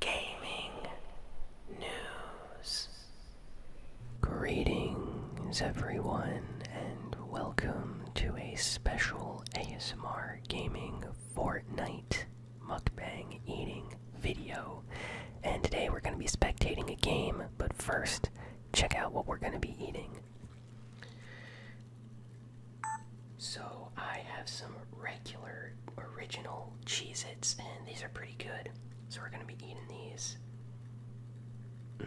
gaming news. Greetings, everyone, and welcome to a special ASMR gaming Fortnite mukbang eating video. And today we're going to be spectating a game, but first, check out what we're going to be eating. So, I have some regular original Cheez and these are pretty good. So we're gonna be eating these. Mm,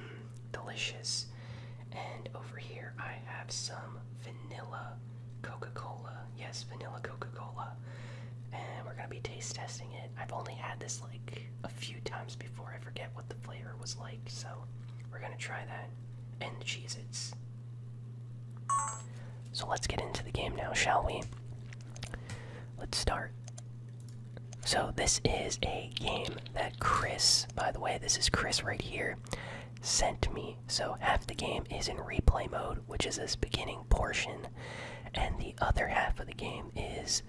delicious. And over here, I have some vanilla Coca Cola. Yes, vanilla Coca Cola. And we're gonna be taste testing it. I've only had this like a few times before. I forget what the flavor was like, so we're gonna try that. And the Cheez so let's get into the game now, shall we? Let's start. So, this is a game that Chris, by the way, this is Chris right here, sent me. So, half the game is in replay mode, which is this beginning portion, and the other half of the game is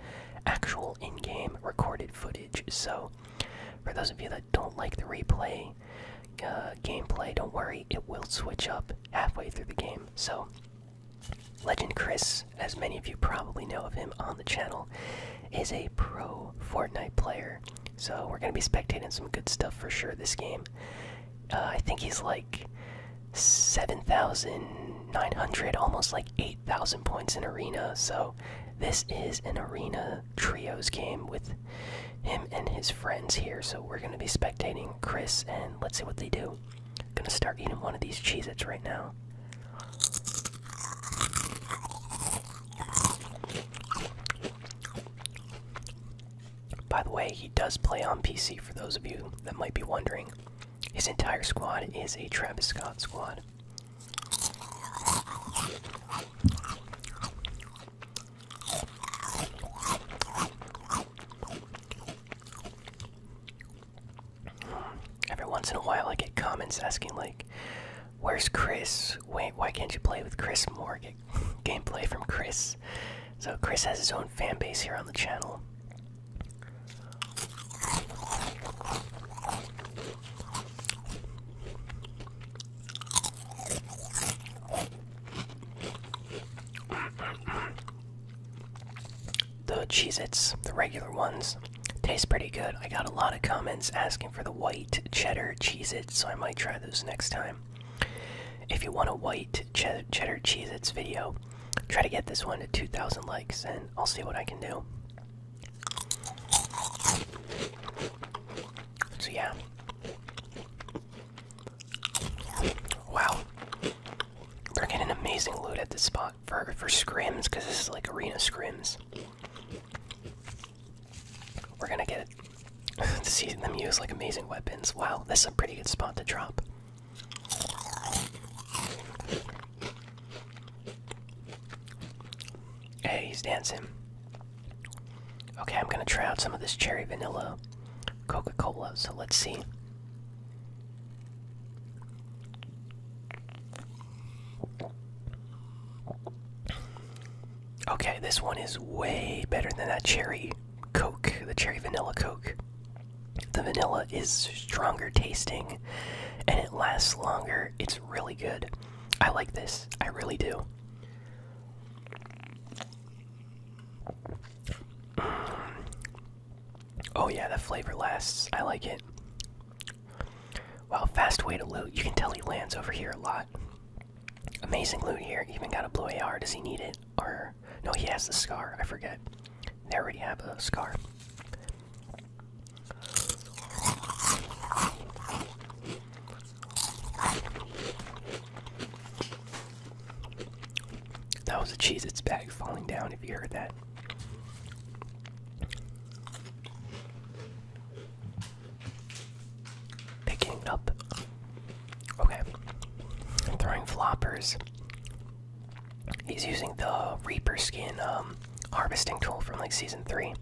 actual in game recorded footage. So, for those of you that don't like the replay, uh, gameplay. Don't worry, it will switch up halfway through the game. So, Legend Chris, as many of you probably know of him on the channel, is a pro Fortnite player. So, we're going to be spectating some good stuff for sure this game. Uh, I think he's like 7,900, almost like 8,000 points in Arena. So, this is an Arena Trios game with him and his friends here. So we're gonna be spectating Chris, and let's see what they do. I'm gonna start eating one of these Cheez-Its right now. By the way, he does play on PC for those of you that might be wondering. His entire squad is a Travis Scott squad. Every once in a while, I get comments asking, like, where's Chris? Wait, why can't you play with Chris Morgan? gameplay from Chris. So, Chris has his own fan base here on the channel. The Cheez Its, the regular ones, taste pretty good. I got a lot of comments asking for the white cheddar Cheez Its, so I might try those next time. If you want a white cheddar Cheez Its video, try to get this one to 2,000 likes and I'll see what I can do. So, yeah. Wow. They're getting amazing loot at this spot for for scrims because this is like arena scrims. We're gonna get to see them use like amazing weapons. Wow, this is a pretty good spot to drop. Hey, he's dancing. Okay, I'm gonna try out some of this cherry vanilla Coca Cola, so let's see. Okay, this one is way better than that cherry Coke, the cherry vanilla Coke. The vanilla is stronger tasting and it lasts longer. It's really good. I like this. I really do. Oh yeah, that flavor lasts. I like it. Wow, fast way to loot. You can tell he lands over here a lot. Amazing loot here. Even got a blue AR. Does he need it? Or no, he has the scar. I forget. They already have a scar. That was a cheese Its bag falling down, if you heard that. Picking up. Okay. throwing floppers. He's using the Reaper skin um, harvesting tool from like season 3.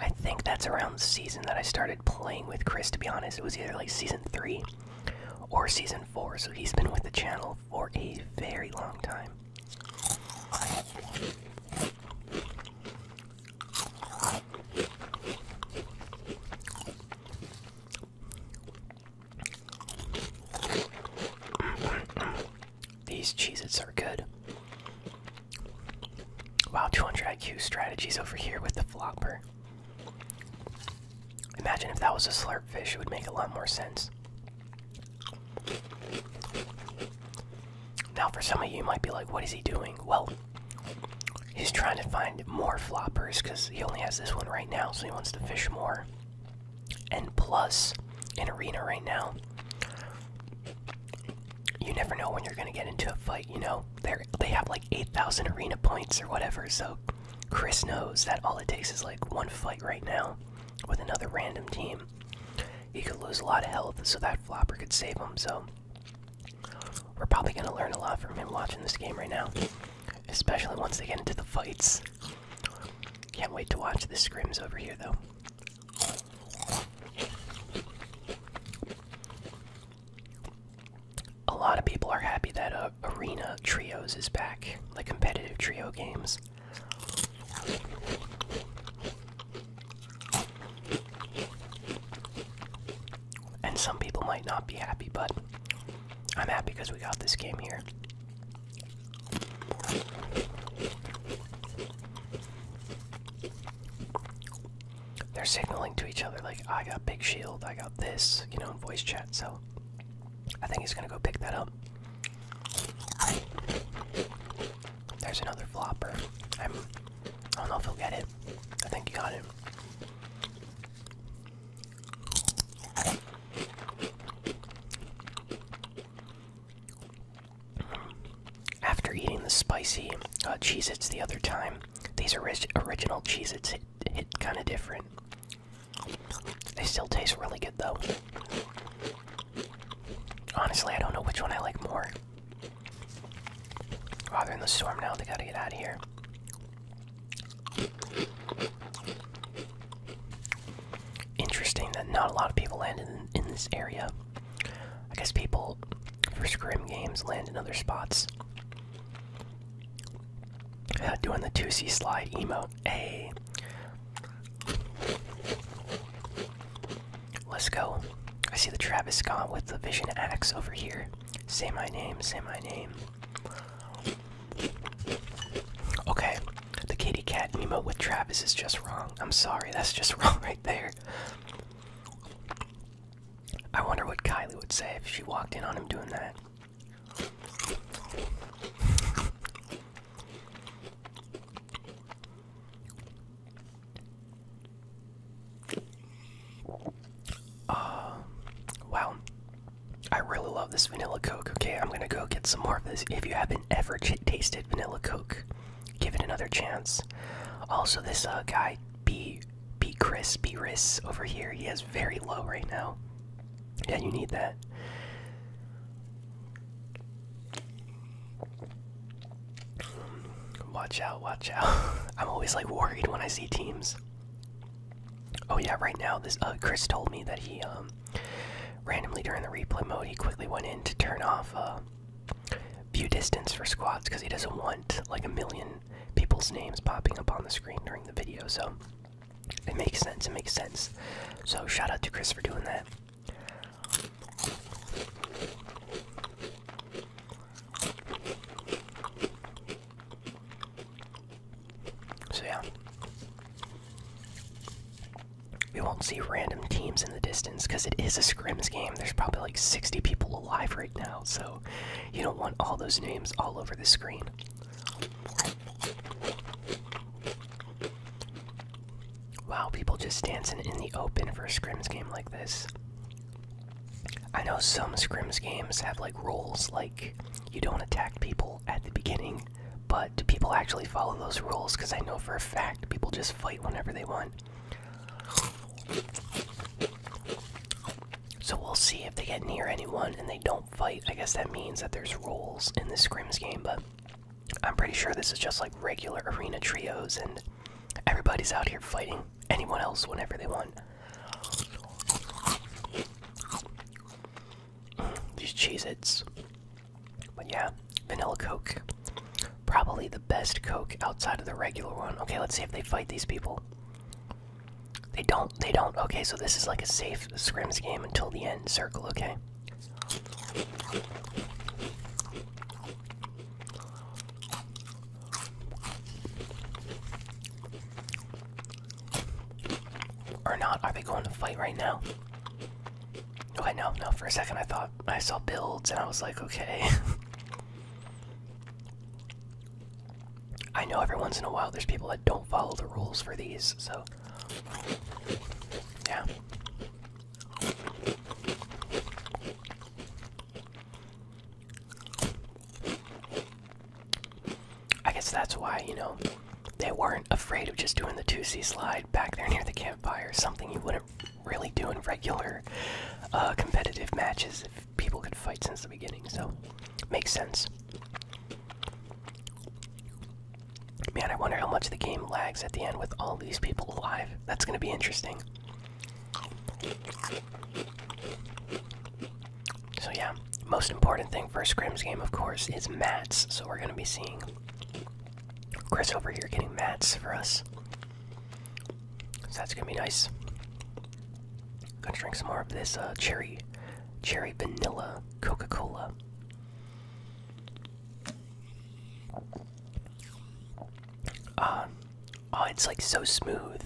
I think that's around season that I started playing with Chris, to be honest. It was either like season three or season four, so he's been with the channel for a very long time. These cheeses are good. Wow, 200 IQ strategies over here with the flopper. Imagine if that was a slurp fish, it would make a lot more sense. Now, for some of you, you might be like, what is he doing? Well, he's trying to find more floppers because he only has this one right now, so he wants to fish more. And plus, in Arena right now, you never know when you're going to get into a fight, you know? There they have like 8,000 arena points or whatever. So Chris knows that all it takes is like one fight right now with another random team. He could lose a lot of health, so that flopper could save him. So we're probably going to learn a lot from him watching this game right now, especially once they get into the fights. Can't wait to watch the scrims over here, though a lot of people are happy that uh, Arena Trios is back, the competitive trio games. And some people might not be happy, but I'm happy because we got this game here they're signaling to each other like I got big shield, I got this, you know, in voice chat. So I think he's gonna go pick that up. There's another flopper. I'm, I do not know if he'll get it. I think he got it. After eating the spicy uh, Its the other time, these are original cheeses. Its kind of different. They still taste really good though. Honestly, I don't know which one I like more. Oh, they're in the storm now. They gotta get out of here. Interesting that not a lot of people landed in this area. I guess people for scrim games land in other spots. Uh, doing the 2C slide emo. A. Let's go. I see the Travis Scott with the Vision Axe over here. Say my name, say my name. Okay, the kitty cat emo with Travis is just wrong. I'm sorry, that's just wrong right there. I wonder what Kylie would say if she walked in on him doing that. Uh, wow. I really love this vanilla Coke. Okay, I'm gonna go get some more of this. If you haven't ever tasted vanilla Coke, give it another chance. Also, this uh, guy, B. Be Chris, be Riss over here. He has very low right now. Yeah, you need that. Watch out, watch out. I'm always like worried when I see teams. Oh yeah, right now this uh, Chris told me that he um, randomly during the replay mode he quickly went in to turn off uh, View distance for squads because he doesn't want like a million people's names popping up on the screen during the video. So it makes sense. It makes sense. So shout out to Chris for doing that. So yeah. We won't see random teams in the distance because it is a scrims game. There's probably like 60 people alive right now, so you don't want all those names all over the screen. Wow, people just dancing in the open for a scrims game like this. I know some scrims games have like rules, like you don't attack people at the beginning, but do people actually follow those rules? Because I know for a fact people just fight whenever they want. So we'll see if they get near anyone and they don't fight. I guess that means that there's rules in this Scrims game, but I'm pretty sure this is just like regular arena trios and everybody's out here fighting anyone else whenever they want. these Cheez But yeah, Vanilla Coke. Probably the best Coke outside of the regular one. Okay, let's see if they fight these people. They don't. They don't. Okay, so this is like a safe scrims game until the end circle. Okay. Or not? Are they going to fight right now? Okay, no, no. For a second, I thought I saw builds, and I was like, okay. I know every once in a while there's people that don't follow the rules for these, so. Yeah. I guess that's why, you know, they weren't afraid of just doing the 2C slide back there near the campfire, something you wouldn't really doing regular uh, competitive matches if people could fight since the beginning. So, makes sense. Man, I wonder how much the game lags at the end with all these people alive. That's going to be interesting. So, yeah, most important thing for a scrims game, of course, is mats. So, we're going to be seeing Chris over here getting mats for us that's gonna be nice. Gonna drink some more of this uh, cherry, cherry vanilla Coca Cola. Ah, oh, it's like so smooth.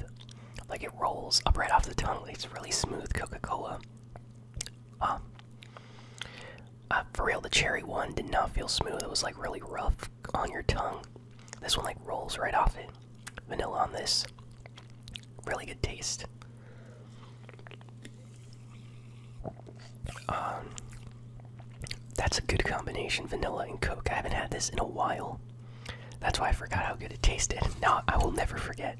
Like it rolls up right off the tongue. It's really smooth Coca Cola. Ah. Uh, for real, the cherry one did not feel smooth. It was like really rough on your tongue. This one like rolls right off it. Vanilla on this. Really good taste. Um, that's a good combination, vanilla and Coke. I haven't had this in a while. That's why I forgot how good it tasted. No, I will never forget.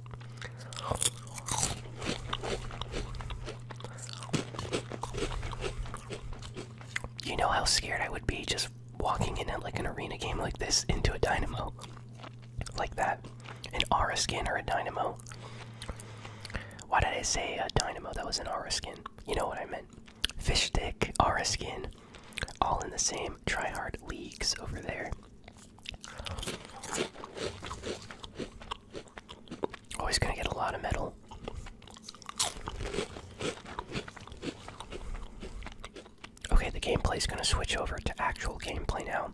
You know how scared I would be just walking in at like an arena game like this into a dynamo like that an aura skin or a dynamo why did i say a dynamo that was an aura skin you know what i meant fish stick aura skin all in the same tryhard leagues over there always oh, gonna get a lot of metal Okay, the gameplay is going to switch over to actual gameplay now.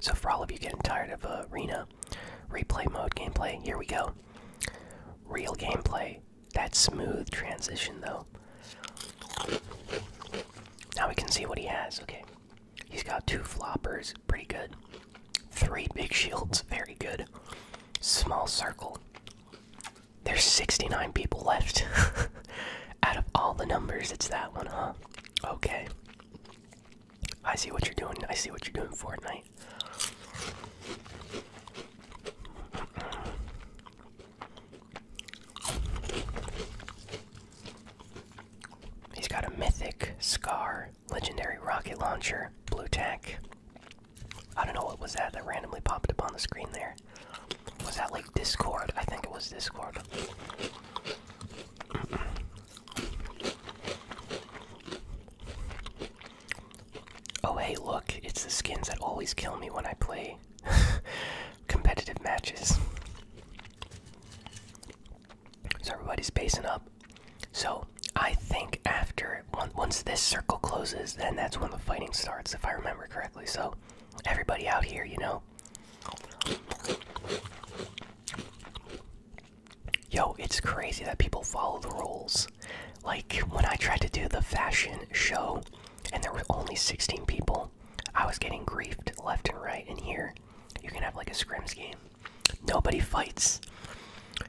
So, for all of you getting tired of arena uh, replay mode gameplay, here we go. Real gameplay. That smooth transition, though. Now we can see what he has. Okay. He's got two floppers. Pretty good. Three big shields. Very good. Small circle. There's 69 people left. Out of all the numbers, it's that one, huh? Okay. I see what you're doing. I see what you're doing, Fortnite. He's got a mythic, scar, legendary rocket launcher, blue tack, I don't know what was that that randomly popped up on the screen there. Was that like Discord? I think it was Discord. Oh hey, look, it's the skins that always kill me when I play competitive matches. So everybody's basing up. So I think after once this circle closes, then that's when the fighting starts, if I remember correctly. So, everybody out here, you know. Yo, it's crazy that people follow the rules. Like, when I tried to do the fashion show and there were only 16 people, I was getting griefed left and right. In here, you can have like a scrims game. Nobody fights.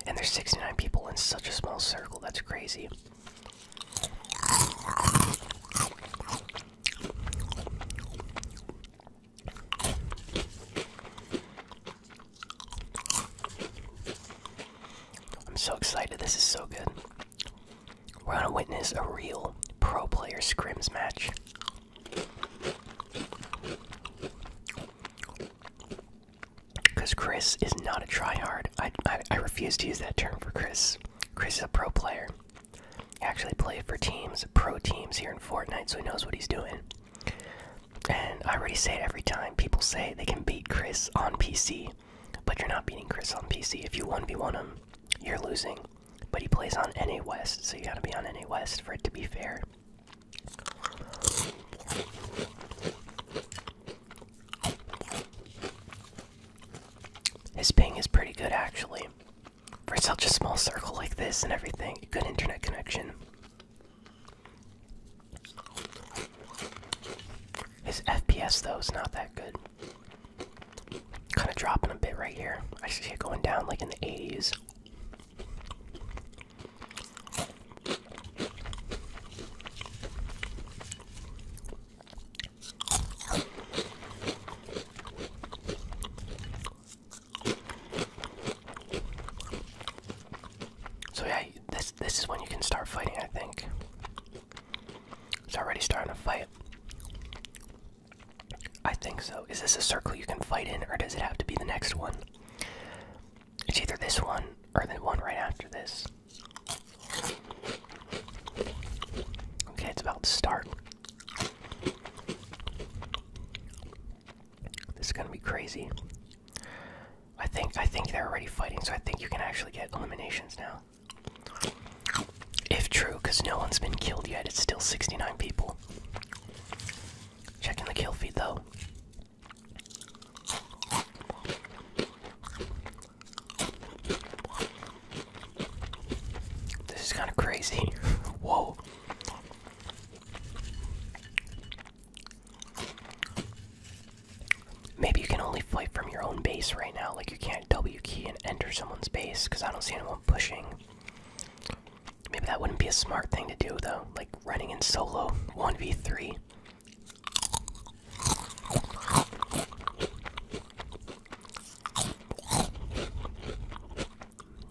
And there's 69 people in such a small circle. That's crazy. I'm so excited. This is so good. We're going to witness a real pro player scrims match. Because Chris is not a tryhard. I, I, refuse to use that term for Chris. Chris is a pro player. He actually played for teams, pro teams here in Fortnite, so he knows what he's doing. And I already say it every time. People say they can beat Chris on PC, but you're not beating Chris on PC. If you 1v1 him, you're losing. But he plays on NA West, so you gotta be on NA West for it to be fair. His ping is pretty good actually. For such a small circle like this and everything, good internet connection. His FPS though is not that good. Kind of dropping a bit right here. I see it going down like in the 80s. So yeah, this this is when you can start fighting, I think. It's already starting to fight. I think so. Is this a circle you can fight in or does it have to be the next one? It's either this one or the one right after this. Okay, it's about to start. This is gonna be crazy. I think I think they're already fighting, so I think you can actually get eliminations now. If true, because no one's been killed yet, it's still 69 people. Checking the kill feed though. This is kind of crazy. Whoa. Maybe you can only fight from your own base right now. Like, you can't W key and enter someone's base because I don't see anyone pushing. Maybe that wouldn't be a smart thing to do, though. Like, running in solo 1v3.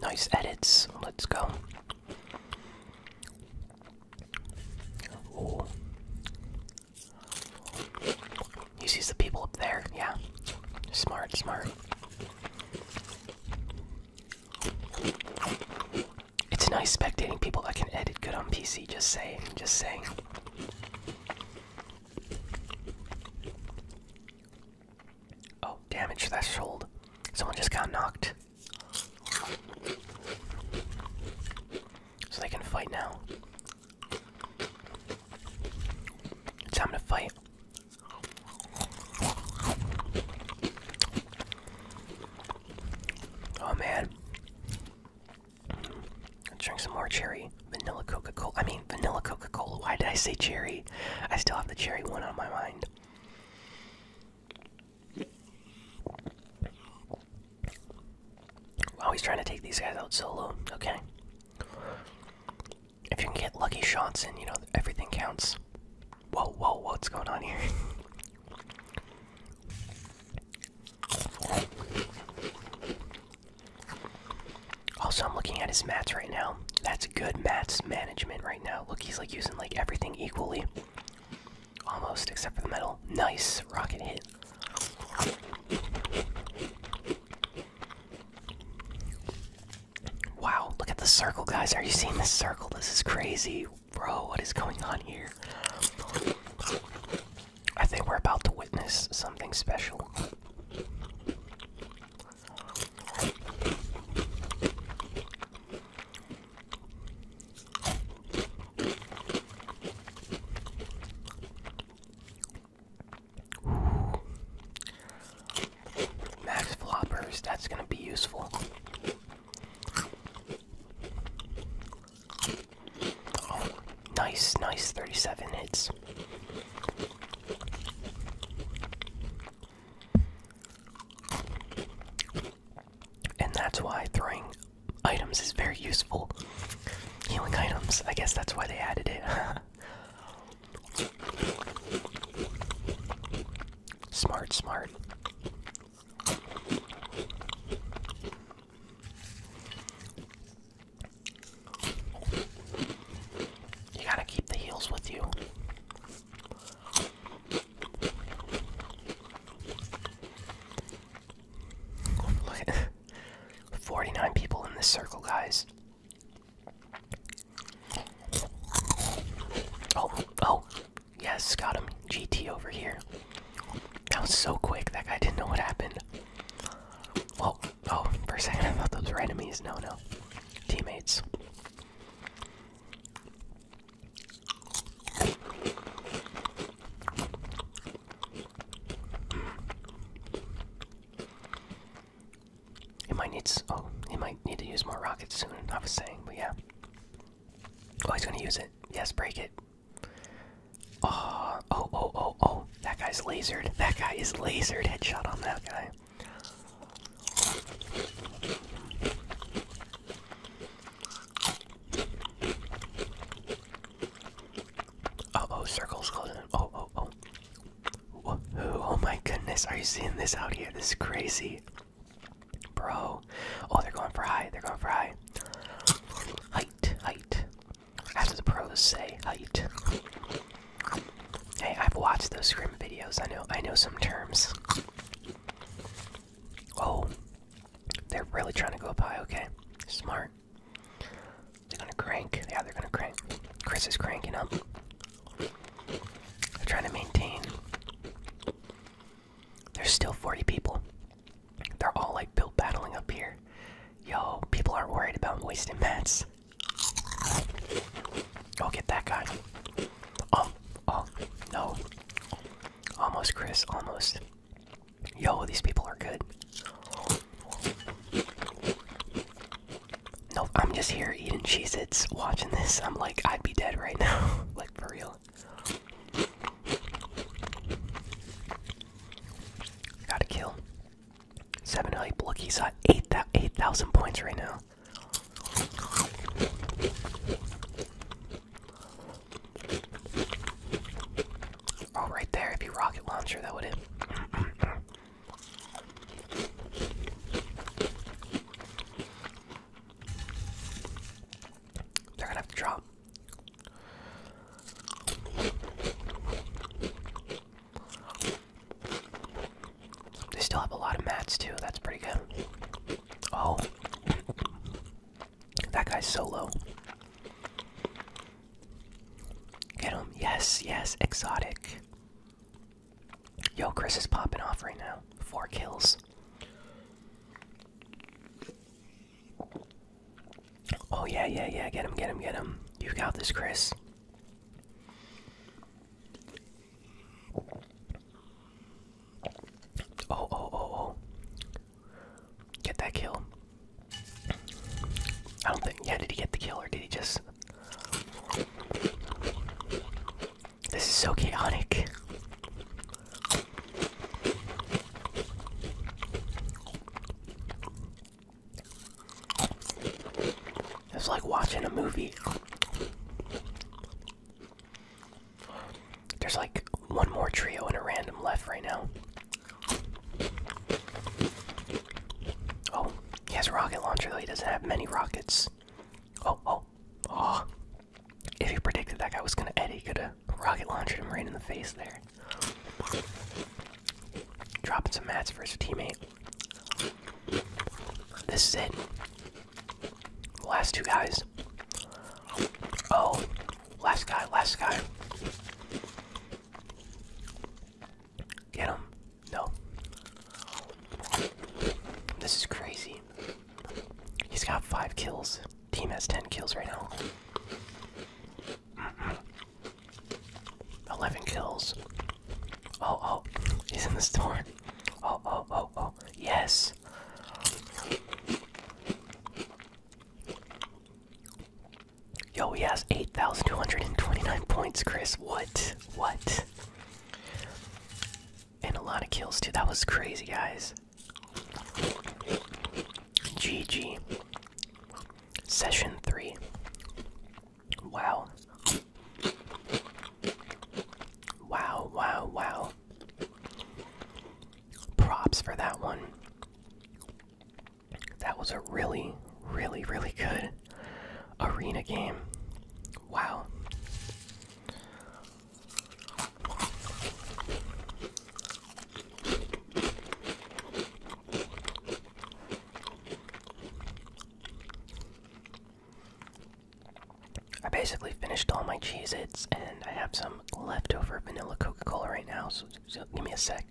Nice edits. Let's go. Ooh. He sees the people up there. Yeah. Smart, smart. It's nice spectating people that can edit good on PC, just saying, just saying. Oh, damage threshold. Someone just got knocked. So they can fight now. It's time to fight. Oh man. Let's drink some more cherry. Vanilla Coca Cola. I mean, vanilla Coca Cola. Why did I say cherry? I still have the cherry one on my mind. Always trying to take these guys out solo. Okay. If you can get lucky shots and you know, everything counts. Whoa, whoa, what's going on here? Also, I'm looking at his mats right now. That's good mats management right now. Look, he's like using like everything equally. Almost, except for the metal. Nice rocket hit. Wow, look at the circle, guys. Are you seeing this circle? This is crazy. Bro, what is going on here? I think we're about to witness something special. Max floppers, that's gonna be useful nice, nice 37 hits. And that's why throwing items is very useful. Healing items, I guess that's why they added it. smart, smart. You gotta keep the heels with you. Look at 49 people in this circle, guys. Oh, oh, Yes, got him. GT over here. That was so quick. That guy didn't know what happened. Well, oh, for a second I thought those were enemies. No, no. Teammates. It might need. Oh, he might need to use more rockets soon. I was saying, but yeah. Oh, he's gonna use it. Yes, break it. Oh, oh, oh, oh, oh. That guy's lasered. That guy is lasered. Headshot on that guy. Uh oh, circles closing. Oh, oh, oh. Whoa, oh my goodness, are you seeing this out here? This is crazy. Bro. Oh, they're going for high. They're going for high. Height. Height. That's what the pros say. Height. Hey, I've watched those scrim videos. I know I know some terms. Oh. They're really trying to go up high, okay. Smart. They're gonna crank. Yeah, they're gonna crank. Chris is cranking up. They're trying to maintain. There's still 40 people. They're all like built battling up here. Yo, people aren't worried about wasting mats. Go get that guy. Oh, oh, no. Almost, Chris, almost. Yo, these people are good. No, I'm just here eating Cheez Its, watching this. I'm like, I'd be dead right now. like, for real. Got a kill. Seven hype. Look, he's at eight eight thousand points right now. Oh, right there. If you rocket launcher, that would hit. They're gonna have to drop. They still have a lot of mats too. That's pretty good. Oh, that guy's solo. Get him. Yes, yes, exotic. Yo, Chris is popping off right now. Four kills. Oh, yeah, yeah, yeah. Get him, get him, get him. You got this, Chris. Oh, oh, oh, oh. Get that kill. I don't think. Yeah, did he get the kill or did he just. This is so chaotic. It's like watching a movie. There's like one more trio and a random left right now. Oh, he has a rocket launcher though. He doesn't have many rockets. Oh, oh, oh. If he predicted that guy was gonna Eddie, he could have rocket launched him right in the face there. Dropping some mats for his teammate. This is it. last two guys. Oh, last guy, last guy. Get him. No. This is crazy. He's got five kills. Team has ten kills right now. Eleven kills. Oh oh, he's in the store. Oh oh oh oh. Yes. Yo, he has 8,229 points, Chris. What? What? and a lot of kills too. That was crazy, guys. GG. Session 3. Wow. Wow, wow, wow. Props for that one. That was a really, really, really good arena game. Wow. I basically finished all my Cheez Its and I have some leftover vanilla Coca Cola right now, so give me a sec.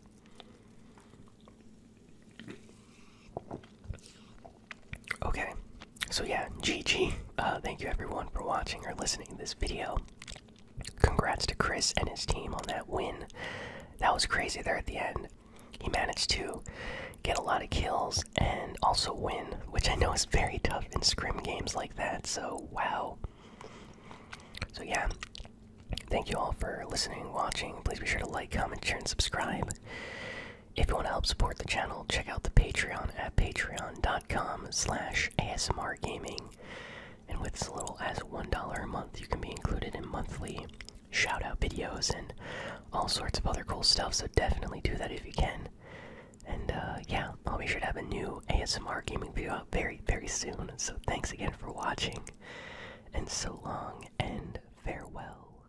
Okay, so yeah, GG. Uh, thank you everyone for watching or listening to this video. Congrats to Chris and his team on that win. That was crazy there at the end. He managed to get a lot of kills and also win, which I know is very tough in scrim games like that, so wow. So yeah, thank you all for listening watching. Please be sure to like, comment, share, and subscribe. If you want to help support the channel, check out the Patreon at patreon.com slash ASMRgaming. And with as little as $1 a month, you can be included in monthly shout-out videos and all sorts of other cool stuff, so definitely do that if you can. And uh, yeah, I'll be sure to have a new ASMR gaming video out very, very soon. So thanks again for watching, and so long and farewell.